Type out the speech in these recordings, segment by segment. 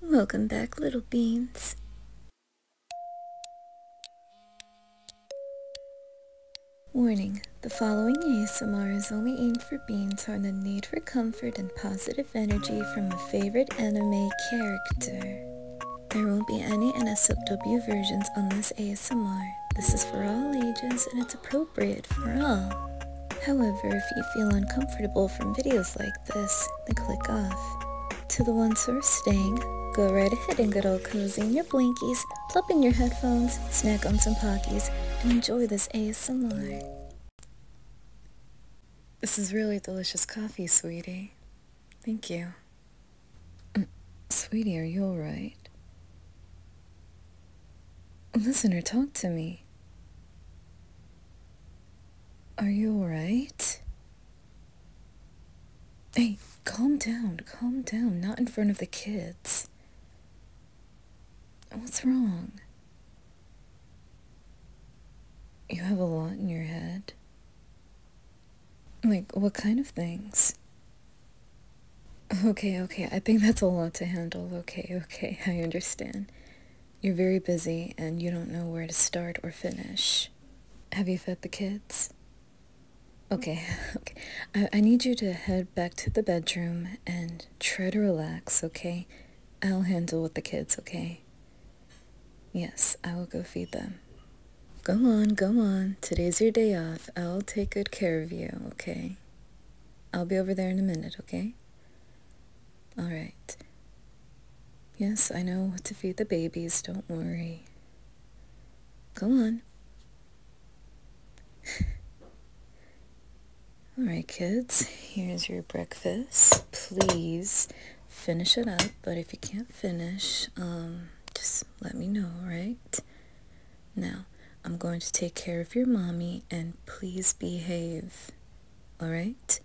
Welcome back, little beans. Warning, the following ASMR is only aimed for beans who are in the need for comfort and positive energy from a favorite anime character. There won't be any NSFW versions on this ASMR. This is for all ages and it's appropriate for all. However, if you feel uncomfortable from videos like this, then click off. To the ones who are staying, go right ahead and get all cozy in your blankies, plugging your headphones, snack on some Pockies, and enjoy this ASMR. This is really delicious coffee, sweetie. Thank you. Mm, sweetie, are you alright? Listener, talk to me. Are you alright? Hey, calm down, calm down, not in front of the kids. What's wrong? You have a lot in your head. Like, what kind of things? Okay, okay, I think that's a lot to handle. Okay, okay, I understand. You're very busy and you don't know where to start or finish. Have you fed the kids? Okay, okay. I, I need you to head back to the bedroom and try to relax, okay? I'll handle with the kids, okay? Yes, I will go feed them. Go on, go on. Today's your day off. I'll take good care of you, okay? I'll be over there in a minute, okay? Alright. Yes, I know what to feed the babies, don't worry. Go on. Alright, kids, here's your breakfast. Please finish it up, but if you can't finish, um, just let me know, alright? Now, I'm going to take care of your mommy, and please behave. Alright?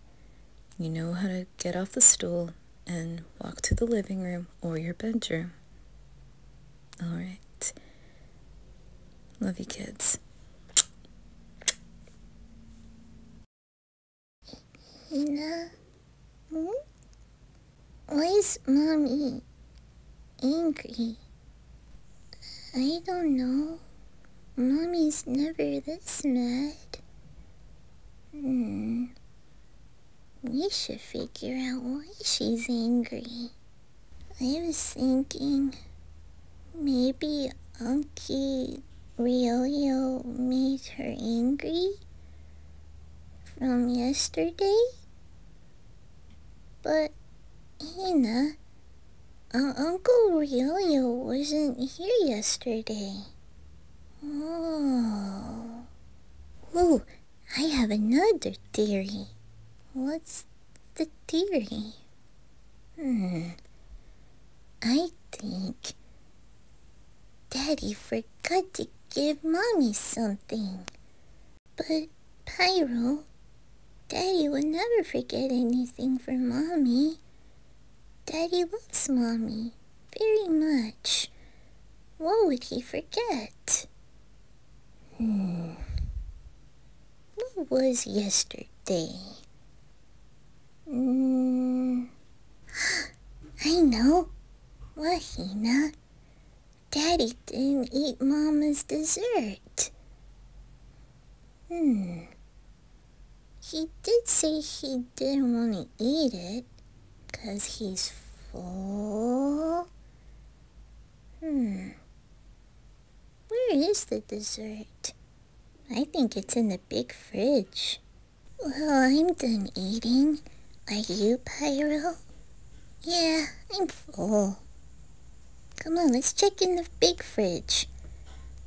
You know how to get off the stool and walk to the living room or your bedroom. Alright. Love you, kids. Hina, hmm? why is mommy angry? I don't know. Mommy's never this mad. Hmm. We should figure out why she's angry. I was thinking maybe Uncle Ryoyo made her angry from yesterday. But Hina, uh, Uncle yo wasn't here yesterday. Oh. Ooh, I have another theory. What's the theory? Hmm. I think Daddy forgot to give Mommy something. But Pyro Daddy will never forget anything for Mommy. Daddy loves Mommy very much. What would he forget? Hmm. What was yesterday? Mm. I know. What, Hina? Daddy didn't eat Mama's dessert. Hmm. He did say he didn't want to eat it, because he's full. Hmm. Where is the dessert? I think it's in the big fridge. Well, I'm done eating. Are you, Pyro? Yeah, I'm full. Come on, let's check in the big fridge.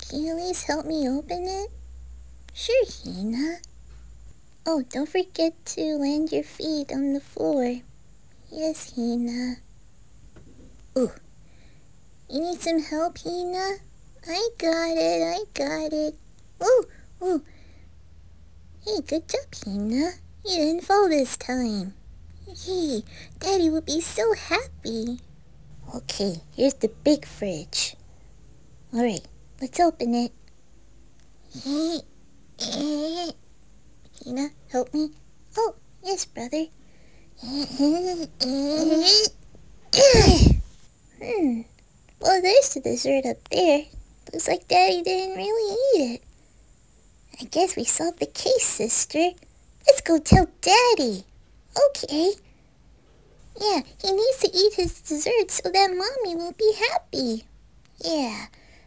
Can you please help me open it? Sure, Hina. Oh, don't forget to land your feet on the floor. Yes, Hina. Ooh. You need some help, Hina? I got it, I got it. Ooh, ooh. Hey, good job, Hina. You didn't fall this time. Yay! Daddy will be so happy. Okay, here's the big fridge. Alright, let's open it. Hina, help me. Oh, yes, brother. hmm. Well, there's the dessert up there. Looks like Daddy didn't really eat it. I guess we solved the case, sister. Let's go tell Daddy. Okay. Yeah, he needs to eat his dessert so that Mommy will be happy. Yeah,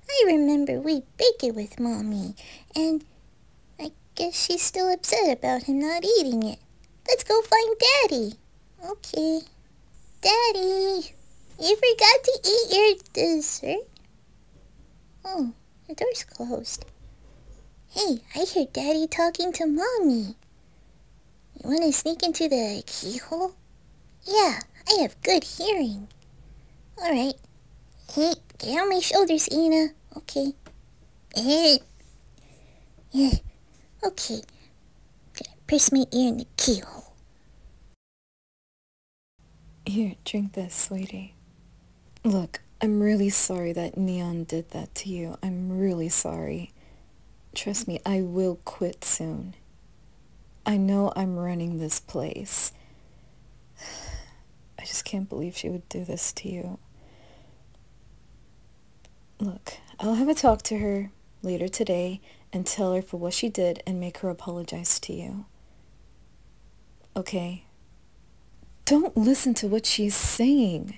I remember we baked it with Mommy, and I guess she's still upset about him not eating it. Let's go find Daddy. Okay. Daddy, you forgot to eat your dessert? Oh. The door's closed. Hey, I hear Daddy talking to Mommy. You want to sneak into the keyhole? Yeah, I have good hearing. Alright. Hey, get on my shoulders, Ina. Okay. Eh. Yeah. Okay. Gonna press my ear in the keyhole. Here, drink this, sweetie. Look, I'm really sorry that Neon did that to you. I'm really sorry. Trust me, I will quit soon. I know I'm running this place. I just can't believe she would do this to you. Look, I'll have a talk to her later today and tell her for what she did and make her apologize to you. Okay? Don't listen to what she is saying.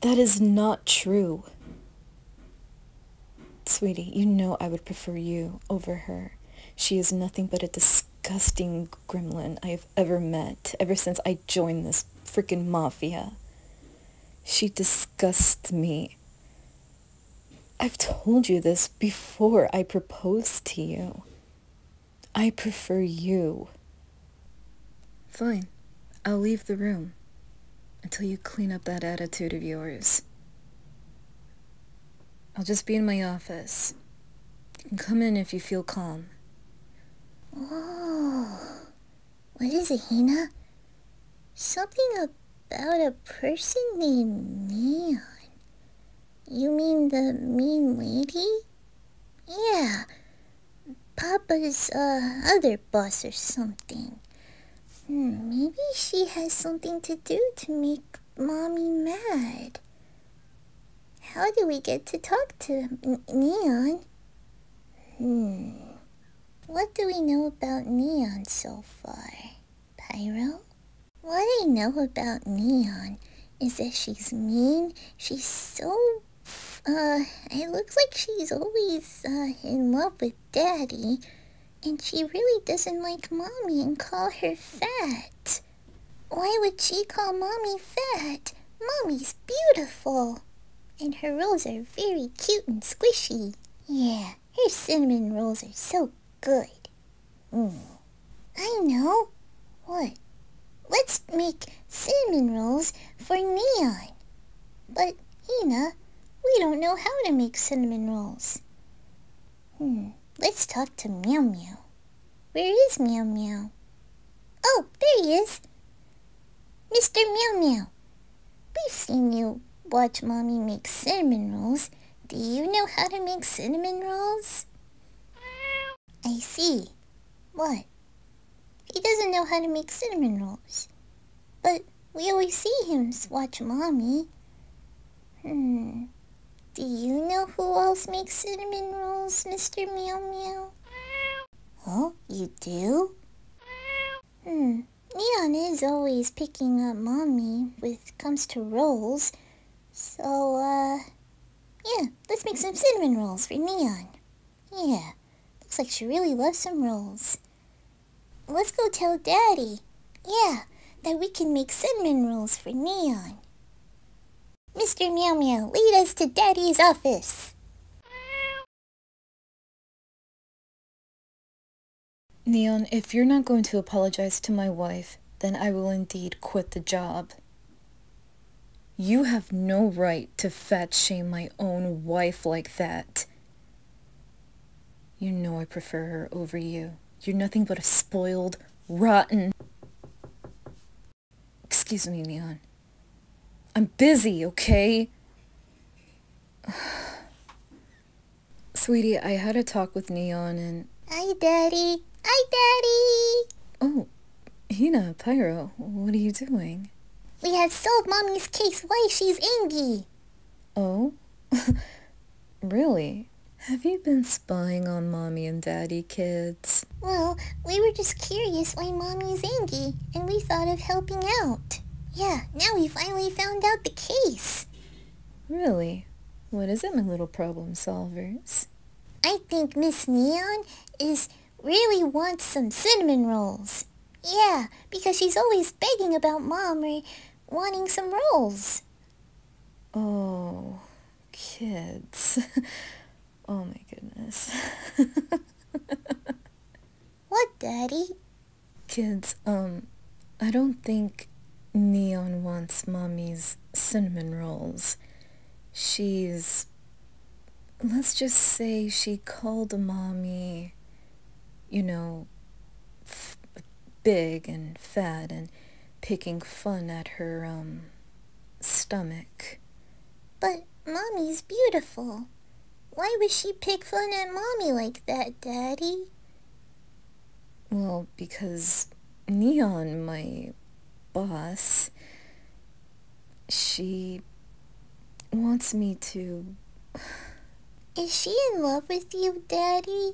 That is not true. Sweetie, you know I would prefer you over her. She is nothing but a disgusting gremlin I have ever met ever since I joined this fricking mafia. She disgusts me. I've told you this before I proposed to you. I prefer you. Fine. I'll leave the room. Until you clean up that attitude of yours. I'll just be in my office. come in if you feel calm. Oh. What is it, Hina? Something about a person named Neon. You mean the mean lady? Yeah, Papa's uh, other boss or something. Hmm, maybe she has something to do to make Mommy mad. How do we get to talk to Neon? Hmm, what do we know about Neon so far? Pyro? What I know about Neon is that she's mean, she's so uh, it looks like she's always, uh, in love with Daddy. And she really doesn't like Mommy and call her fat. Why would she call Mommy fat? Mommy's beautiful. And her rolls are very cute and squishy. Yeah, her cinnamon rolls are so good. Mm. I know. What? Let's make cinnamon rolls for Neon. But, Hina, we don't know how to make cinnamon rolls. Hmm, let's talk to Meow Meow. Where is Meow Meow? Oh, there he is. Mr. Meow Meow, we've seen you watch Mommy make cinnamon rolls. Do you know how to make cinnamon rolls? I see. What? He doesn't know how to make cinnamon rolls. But we always see him watch Mommy. Hmm. Do you know who else makes cinnamon rolls, Mr. Meow Meow? Oh, you do? Hmm. Neon is always picking up Mommy when it comes to rolls. So, uh... Yeah, let's make some cinnamon rolls for Neon. Yeah, looks like she really loves some rolls. Let's go tell Daddy. Yeah, that we can make cinnamon rolls for Neon. Mr. Meow Meow, lead us to Daddy's office. Neon, if you're not going to apologize to my wife, then I will indeed quit the job. You have no right to fat shame my own wife like that. You know I prefer her over you. You're nothing but a spoiled, rotten... Excuse me, Neon. I'm busy, okay? Sweetie, I had a talk with Neon and... Hi, Daddy. Hi, Daddy. Oh, Hina, Pyro, what are you doing? We have solved Mommy's case why she's angry! Oh? really? Have you been spying on Mommy and Daddy, kids? Well, we were just curious why Mommy's is angry, and we thought of helping out. Yeah, now we finally found out the case. Really? What is it, my little problem solvers? I think Miss Neon is really wants some cinnamon rolls. Yeah, because she's always begging about Mom or wanting some rolls. Oh, kids. oh my goodness. what, Daddy? Kids, um, I don't think Neon wants Mommy's cinnamon rolls. She's let's just say she called mommy, you know, big and fat and picking fun at her, um, stomach. But mommy's beautiful. Why would she pick fun at mommy like that, Daddy? Well, because Neon, my boss, she wants me to. Is she in love with you, Daddy?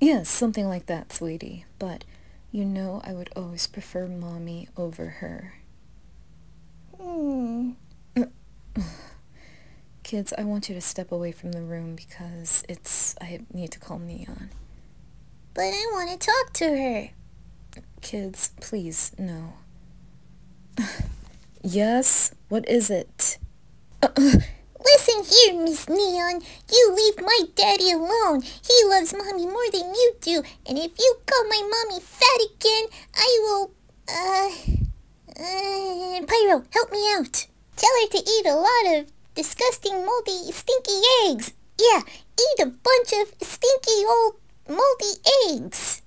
Yes, something like that, sweetie. But you know I would always prefer Mommy over her. Hmm. Kids, I want you to step away from the room because it's... I need to call Neon. But I want to talk to her. Kids, please, no. yes? What is it? Listen here, Miss Neon. You leave my daddy alone. He loves mommy more than you do. And if you call my mommy fat again, I will... Uh... uh Pyro, help me out. Tell her to eat a lot of disgusting, moldy, stinky eggs. Yeah, eat a bunch of stinky old moldy eggs.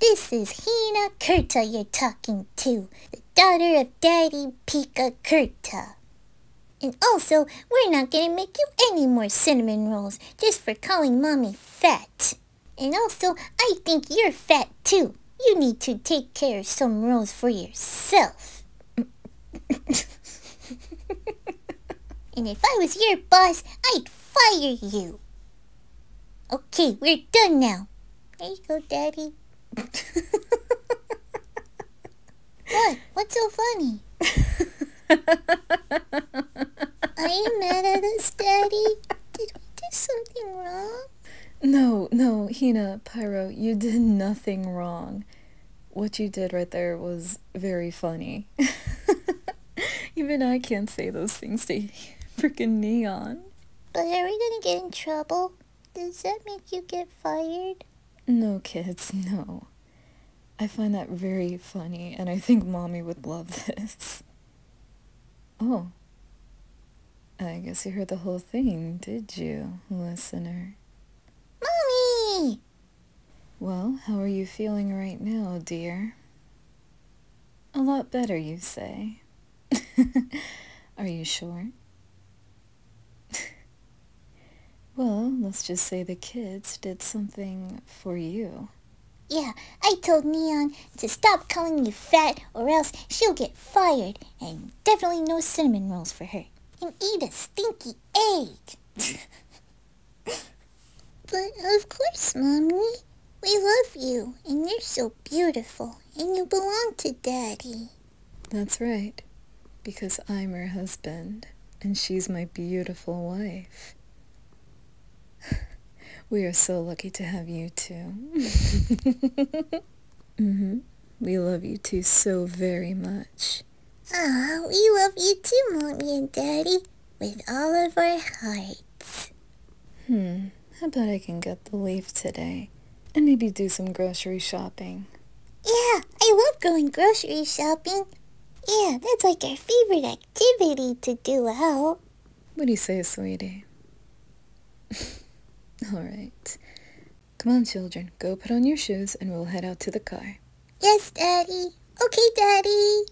This is Hina Kurta you're talking to, the daughter of Daddy Pika Kurta. And also, we're not gonna make you any more cinnamon rolls just for calling mommy fat. And also, I think you're fat too. You need to take care of some rolls for yourself. and if I was your boss, I'd fire you. Okay, we're done now. There you go, Daddy. what? What's so funny? Are you mad at us, Daddy? Did we do something wrong? No, no, Hina, Pyro, you did nothing wrong. What you did right there was very funny. Even I can't say those things to freaking Neon. But are we gonna get in trouble? Does that make you get fired? No, kids, no. I find that very funny, and I think mommy would love this. Oh. I guess you heard the whole thing, did you, listener? Mommy! Well, how are you feeling right now, dear? A lot better, you say. are you sure? well, let's just say the kids did something for you. Yeah, I told Neon to stop calling you fat or else she'll get fired and definitely no cinnamon rolls for her. And eat a stinky egg. But of course, Mommy. We love you, and you're so beautiful, and you belong to Daddy. That's right, because I'm her husband, and she's my beautiful wife. we are so lucky to have you 2 mm-hmm. We love you two so very much. Aw, we love you too, Mommy and Daddy, with all of our hearts. Hmm, I bet I can get the leaf today. And maybe do some grocery shopping. Yeah, I love going grocery shopping. Yeah, that's like our favorite activity to do out. What do you say, sweetie? All right. Come on, children, go put on your shoes and we'll head out to the car. Yes, Daddy. Okay, Daddy.